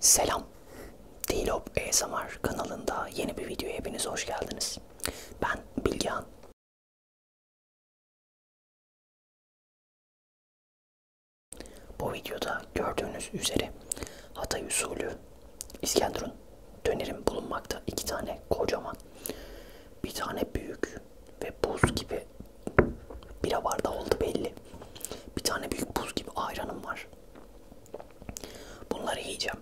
Selam. Dilop ASMR kanalında yeni bir videoya hepiniz hoş geldiniz. Ben Bilgehan. Bu videoda gördüğünüz üzere Hatay usulü İskenderun dönerim bulunmakta. iki tane kocaman, bir tane büyük ve buz gibi bira bardağı oldu belli. Bir tane büyük buz gibi ayranım var var. Bunları yiyeceğim.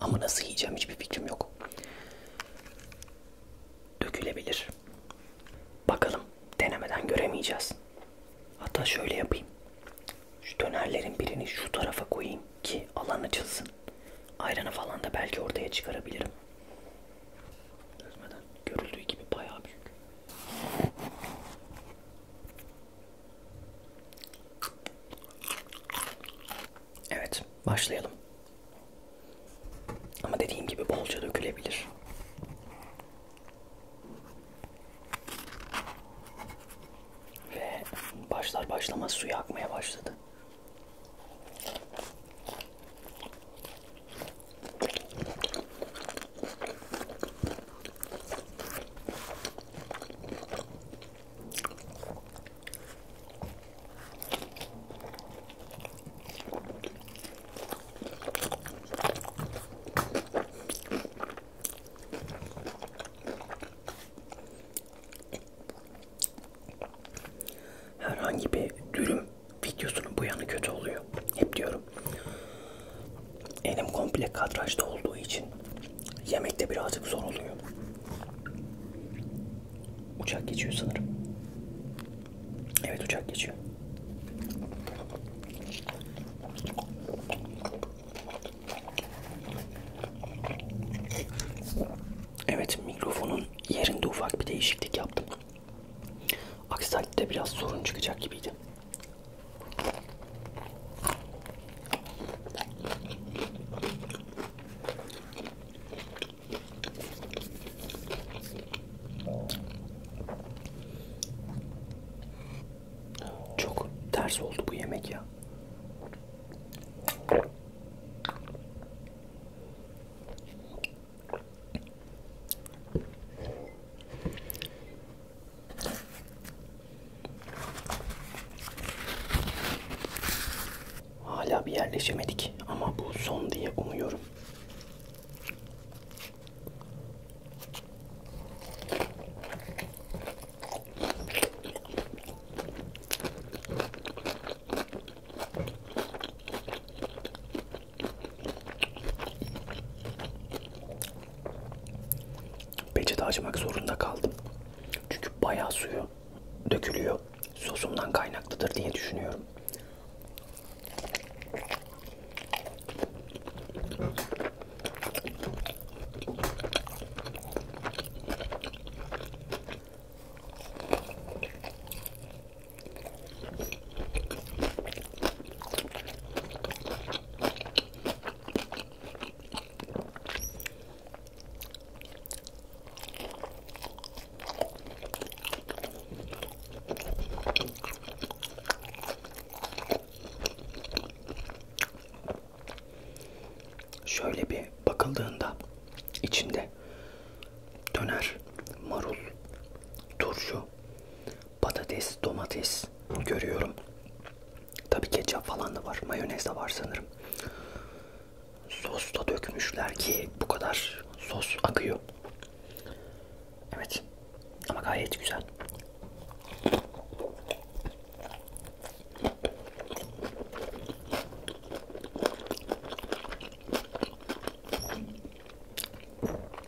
Ama nasıl yiyeceğim hiçbir fikrim yok. Dökülebilir. Bakalım denemeden göremeyeceğiz. Hatta şöyle yapayım. Şu dönerlerin birini şu tarafa koyayım ki alan açılsın. Ayranı falan da belki ortaya çıkarabilirim. Görüldüğü gibi bayağı büyük. Evet, başlayalım. Ama dediğim gibi bolca dökülebilir. Ve başlar başlamaz suyu akmaya başladı. Herhangi bir dürüm videosunun bu yanı kötü oluyor. Hep diyorum yapıyorum. Elim komple kadrajda olduğu için yemekte birazcık zor oluyor. Uçak geçiyor sanırım. Evet uçak geçiyor. Evet mikrofonun yerinde ufak bir değişiklik yaptım. Aksi takdirde biraz sorun çıkacak gibiydi. Çok ters oldu bu yemek ya. Hala bir yerleşemedik ama bu son diye umuyorum. Peçete açmak zorunda kaldım. Çünkü bayağı suyu dökülüyor. Sosumdan kaynaklıdır diye düşünüyorum. Şöyle bir bakıldığında içinde döner, marul, turşu, patates, domates görüyorum. Tabii ketçap falan da var. Mayonez de var sanırım. Sos da dökmüşler ki bu kadar sos akıyor. Evet. Ama gayet güzel.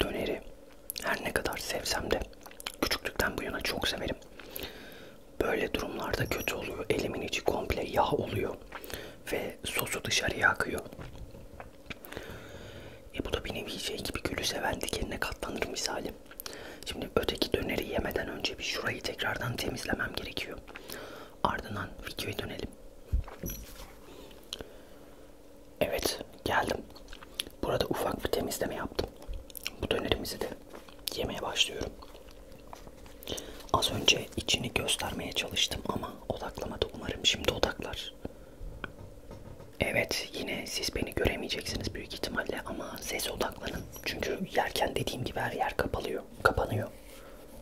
döneri her ne kadar sevsem de küçüklükten bu yana çok severim. Böyle durumlarda kötü oluyor. Elimin içi komple yağ oluyor ve sosu dışarıya akıyor. E bu da bir nevi şey gibi gülü seven dikenine katlanır misali. Şimdi öteki döneri yemeden önce bir şurayı tekrardan temizlemem gerekiyor. Ardından videoya dönelim. Evet geldim. Burada ufak bir temizleme yaptım. Bu dönerimizi de yemeye başlıyorum. Az önce içini göstermeye çalıştım ama odaklamadı. Umarım şimdi odaklar. Evet yine siz beni göremeyeceksiniz büyük ihtimalle ama sese odaklanın. Çünkü yerken dediğim gibi her yer kapalıyor, kapanıyor.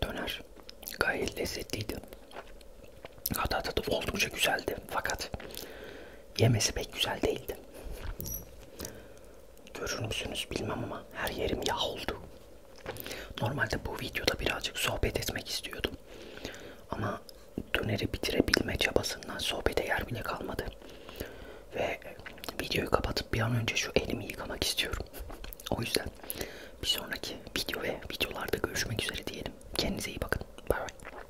Döner gayet lezzetliydi. Hatta tadı oldukça güzeldi fakat Yemesi pek güzel değildi. Görür müsünüz bilmem ama her yerim yağ oldu. Normalde bu videoda birazcık sohbet etmek istiyordum. Ama döneri bitirebilme çabasından sohbete yer bile kalmadı. Ve videoyu kapatıp bir an önce şu elimi yıkamak istiyorum. O yüzden bir sonraki video ve videolarda görüşmek üzere diyelim. Kendinize iyi bakın. Bye bye.